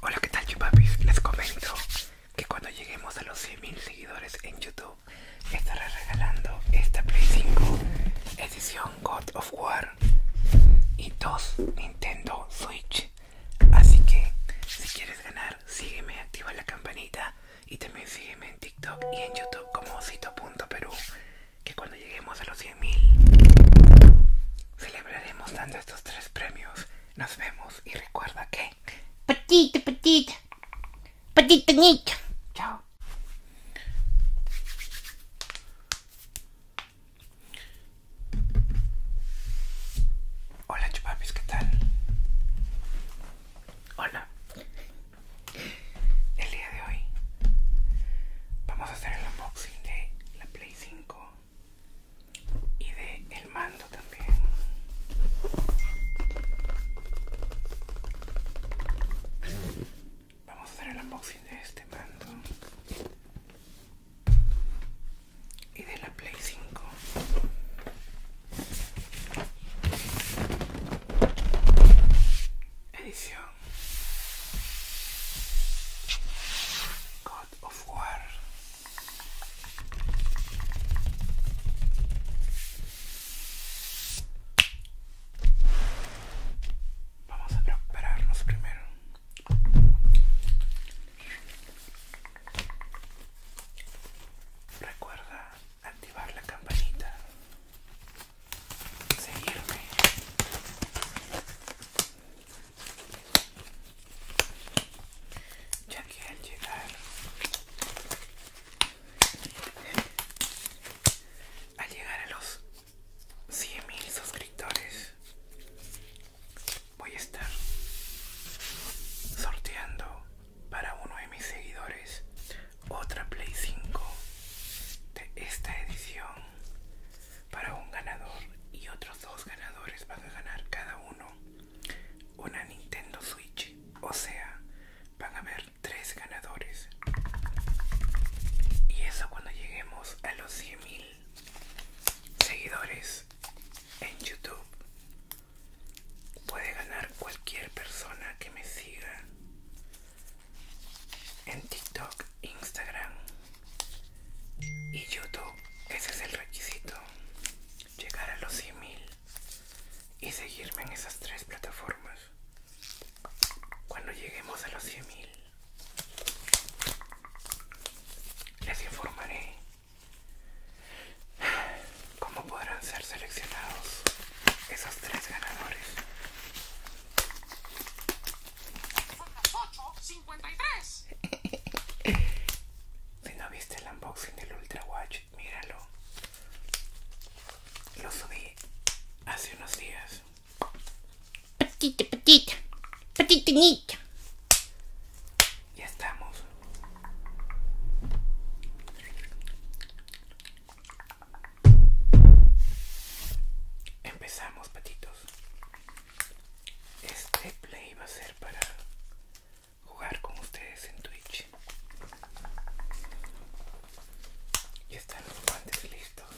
Hola, ¿qué tal, chupapis? Les comento que cuando lleguemos a los 100.000 seguidores en YouTube, estaré regalando esta Play 5 edición God of War y dos Nintendo Switch. Así que, si quieres ganar, sígueme, activa la campanita y también sígueme en TikTok y en YouTube como osito.peru que cuando lleguemos a los 100.000 celebraremos dando estos tres premios. Nos vemos y recuerda que... petite petite petite nita Chao. Hola, chupapis, ¿qué tal? Hola. El día de hoy vamos a hacer el unboxing de la Play 5 y de el mando también. Vamos a hacer el unboxing de este mando y de la Play 5. Edición God of War. Vamos a prepararnos primero. Recuerda activar la campanita seguirme. Ya que al llegar, al llegar a los 100.000 suscriptores, voy a estar sorteando para uno de mis seguidores otra Play 5 de esta edición para un ganador y otros dos ganadores van a ganar cada uno una Nintendo Switch. O sea, van a haber tres ganadores. Y eso cuando lleguemos a los 100.000 seguidores en YouTube. Puede ganar cualquier persona que me siga en TikTok, Instagram y YouTube. Ese es el requisito. Llegar a los 100.000 y seguirme en esas tres plataformas. Cuando lleguemos a los 100.000 les informaré cómo podrán ser seleccionados esos tres ganadores si no viste el unboxing del Ultra Watch, míralo. Lo subí hace unos días. Patita, patita, patitinita. Ya estamos. Empezamos, patitos. Este play va a ser para jugar con ustedes en Twitch. Ya están los guantes listos.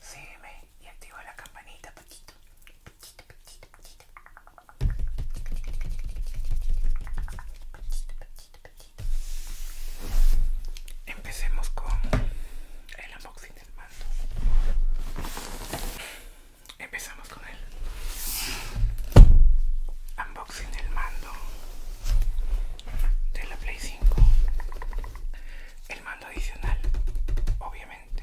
Sígueme y activa la campanita, Pachito Pachito, Pachito, Pachito Empecemos con el unboxing del mando. Empezamos con el unboxing del mando de la Play 5. El mando adicional, obviamente,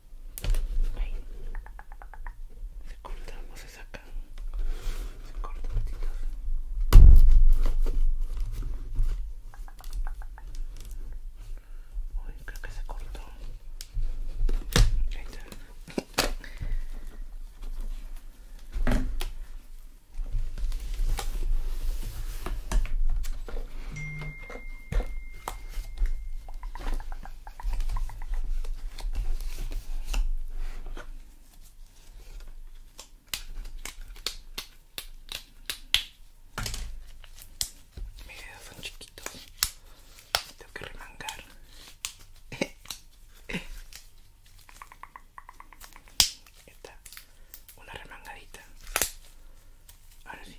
Se corta, no se saca. Se corta, patitas. Uy, creo que se cortó. Mis dedos son chiquitos. Tengo que remangar. Está una remangadita. Ahora sí.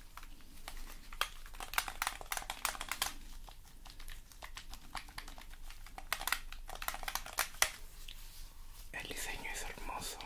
El diseño es hermoso.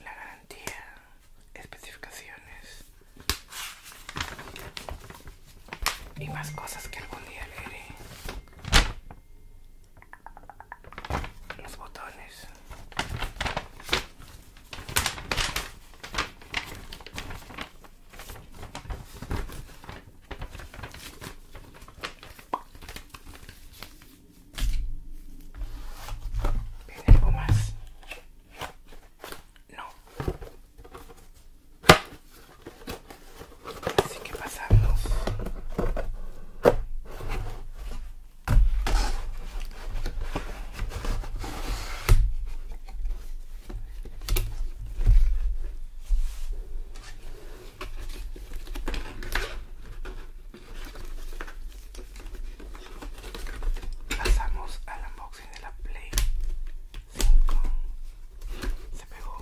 La garantía, especificaciones y más cosas que algún día leeré los botones ¿Viene algo más? No Así que pasamos Pasamos al unboxing de la Play 5 Se pegó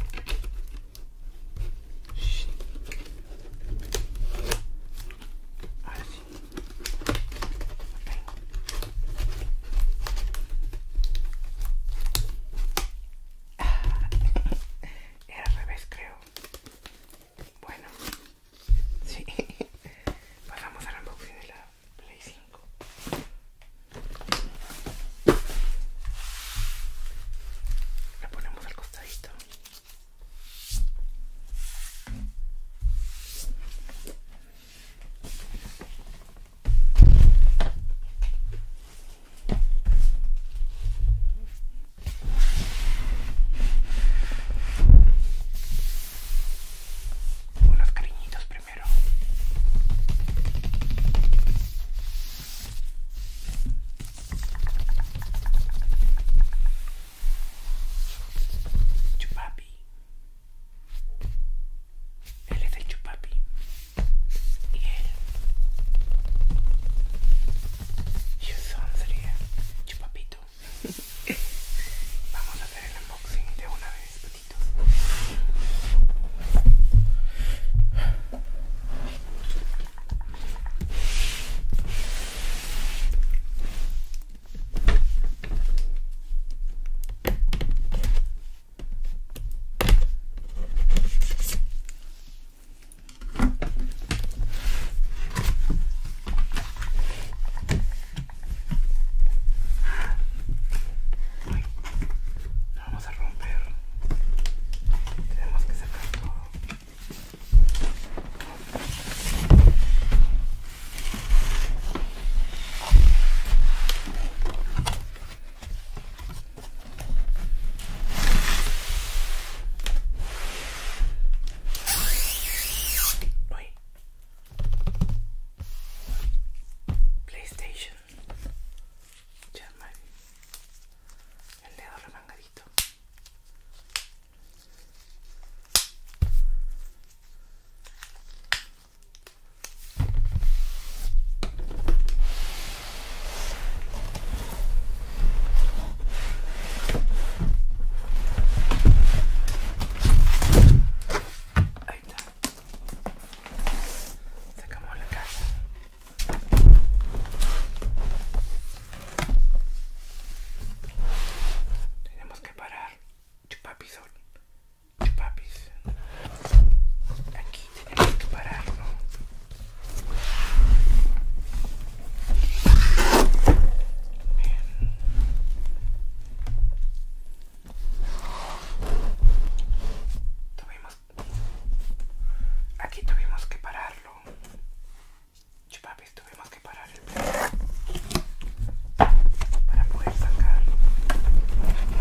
era al revés, creo. Bueno, sí. pasamos a al unboxing de la Play 5. lo ponemos al costadito. Hola, los cariñitos primero. Chupapi. Él es el chupapi. Y él. Yo son sería chupapito. Vamos a hacer el unboxing de una vez, patitos vamos a romper. Tenemos que sacar todo. PlayStation. Ya, el dedo remangadito. Ahí está. Sacamos la casa tenemos que parar. Chupapis Chupapiz. Aquí tenemos que pararlo Tuvimos... Aquí tuvimos que pararlo. Chupapis, tuvimos que parar el plato para poder sacar la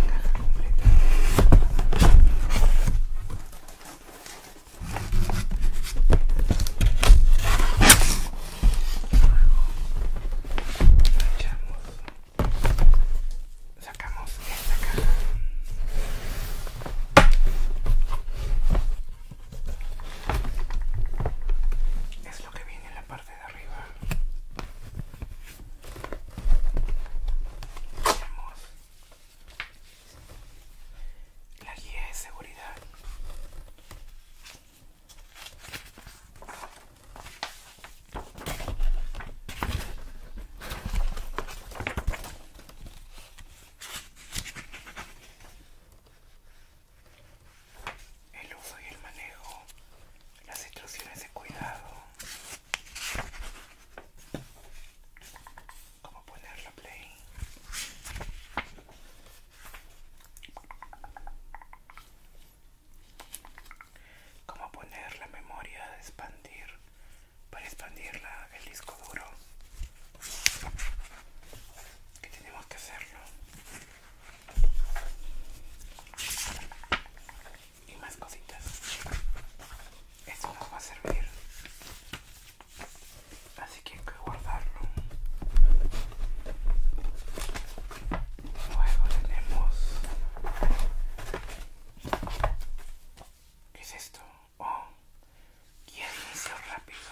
caja completa. Manchamos. Sacamos esta caja es lo que viene en la parte de arriba la guía de seguridad el uso y el manejo, las instrucciones de cuidado, cómo poner la play. Cómo poner la memoria de expandir para expandir el disco duro que tenemos que hacerlo y más cositas esto nos va a servir así que hay que guardarlo luego tenemos ¿qué es esto? o guía de inicio rápido.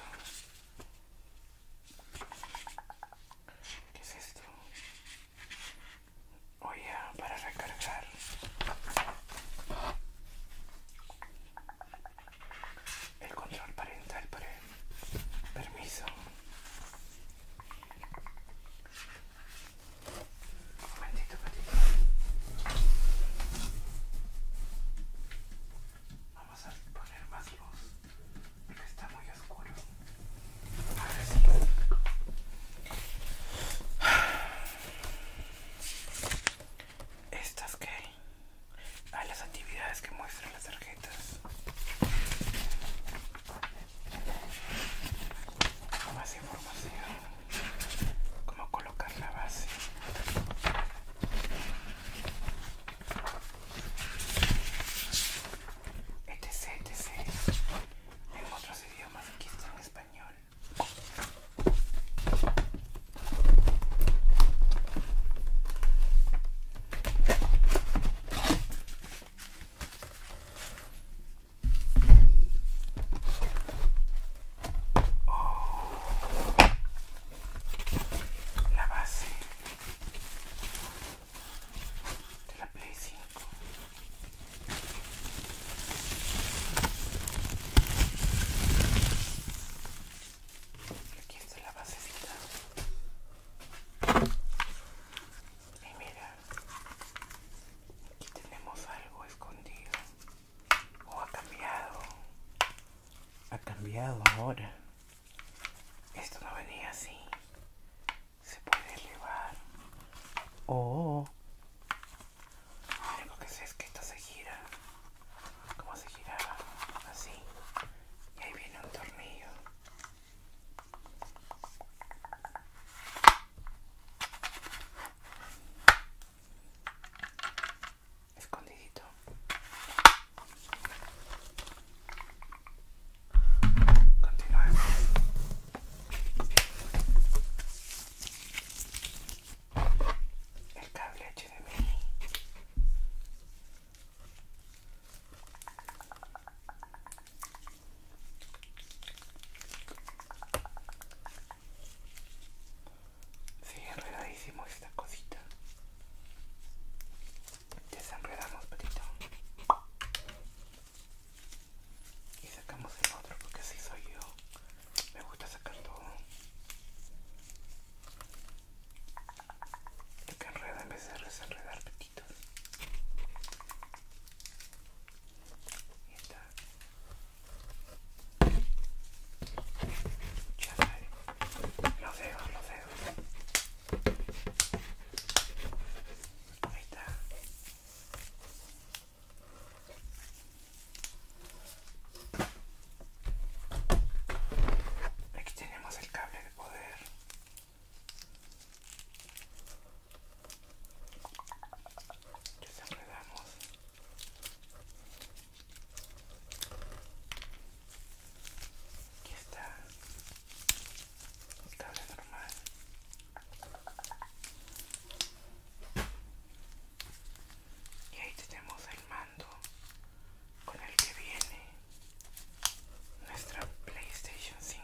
¿Qué es esto? Oye, para recargar. El control parental para permiso. Un momentito, Vamos a poner más luz porque está muy oscuro. Ahora sí. Estas que a ah, las actividades que muestran las tarjetas. Más información. Cómo colocar la base etc, etc. En otros idiomas, aquí está en español oh, la base de la Play 5. Aquí está la basecita. Y mira, aquí tenemos algo escondido o ha cambiado ha cambiado ahora esto no venía así se puede elevar o oh. único que sé es que esto se gira como se giraba así y ahí viene un tornillo escondidito Continuamos. el cable HDMI si, enredadísimo esta cosita. Desenredamos, petito Y sacamos el otro porque así soy yo. Me gusta sacar todo. Lo que enreda en vez de desenredar, petitos. Y está. Ya sé, los dedos, está. Aquí tenemos el cable de poder. Ya se enredamos. Aquí está normal. Y ahí tenemos el mando con el que viene nuestra PlayStation 5.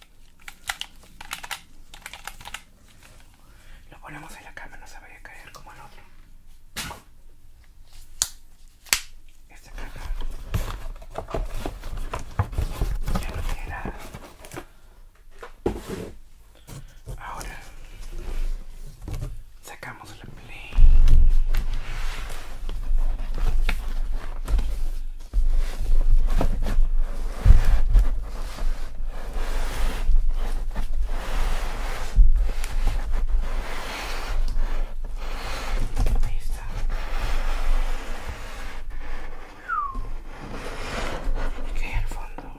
Lo ponemos en la cama, no se vaya a caer como el otro. Esta caja ya lo queda Ahora sacamos la play. Ahí está. Aquí hay al fondo.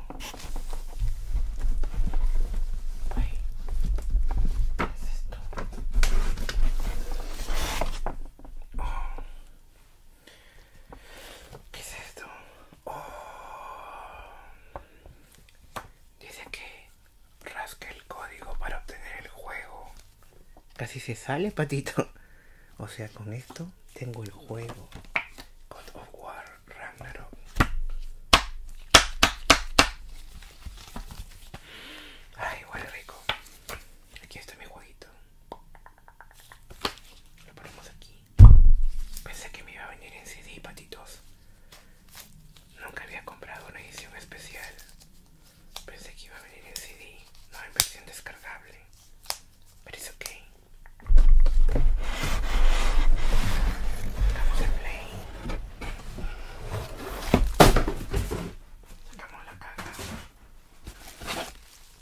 Ahí. ¿Qué es esto? Oh. ¿Qué es esto? Oh. Dice que rasque el código para obtener el juego. Casi se sale, patito. O sea, con esto tengo el juego. God of War Ragnarok. Ay, huele rico. Aquí está mi jueguito. Lo ponemos aquí. Pensé que me iba a venir en CD, patitos. Nunca había comprado una edición especial. Pensé que iba a venir en CD, no en versión descargable. Pero es ok. Sacamos el play. Sacamos la caja.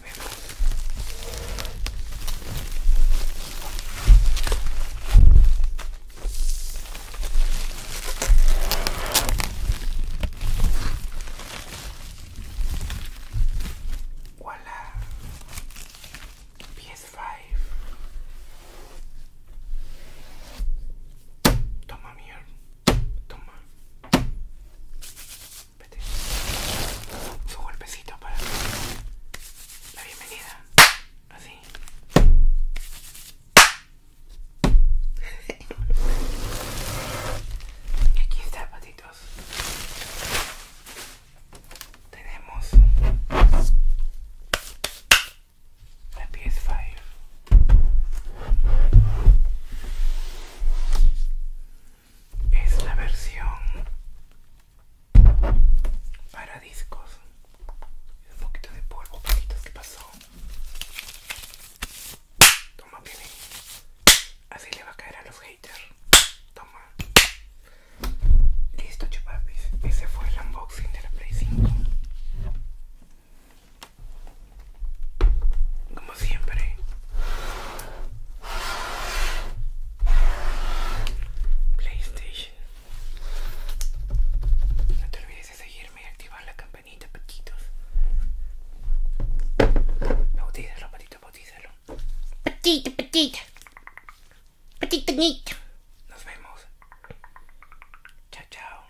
volvemos. Voilà. PS5. Toma mierda. Toma. Su golpecito para la bienvenida. Así. Y aquí está, patitos. Tenemos la PS5 es la versión para discos. Un poquito de polvo, poquitos que pasó. Toma, viene. Así le va a caer a los haters. Toma. Listo, chupapis. Ese fue el unboxing de la Play 5. Como siempre, PlayStation. No te olvides de seguirme y activar la campanita, patitos. Bautícelo, patito, bautízalo. Patito, patito. Patito, Nos vemos. Chao, chao.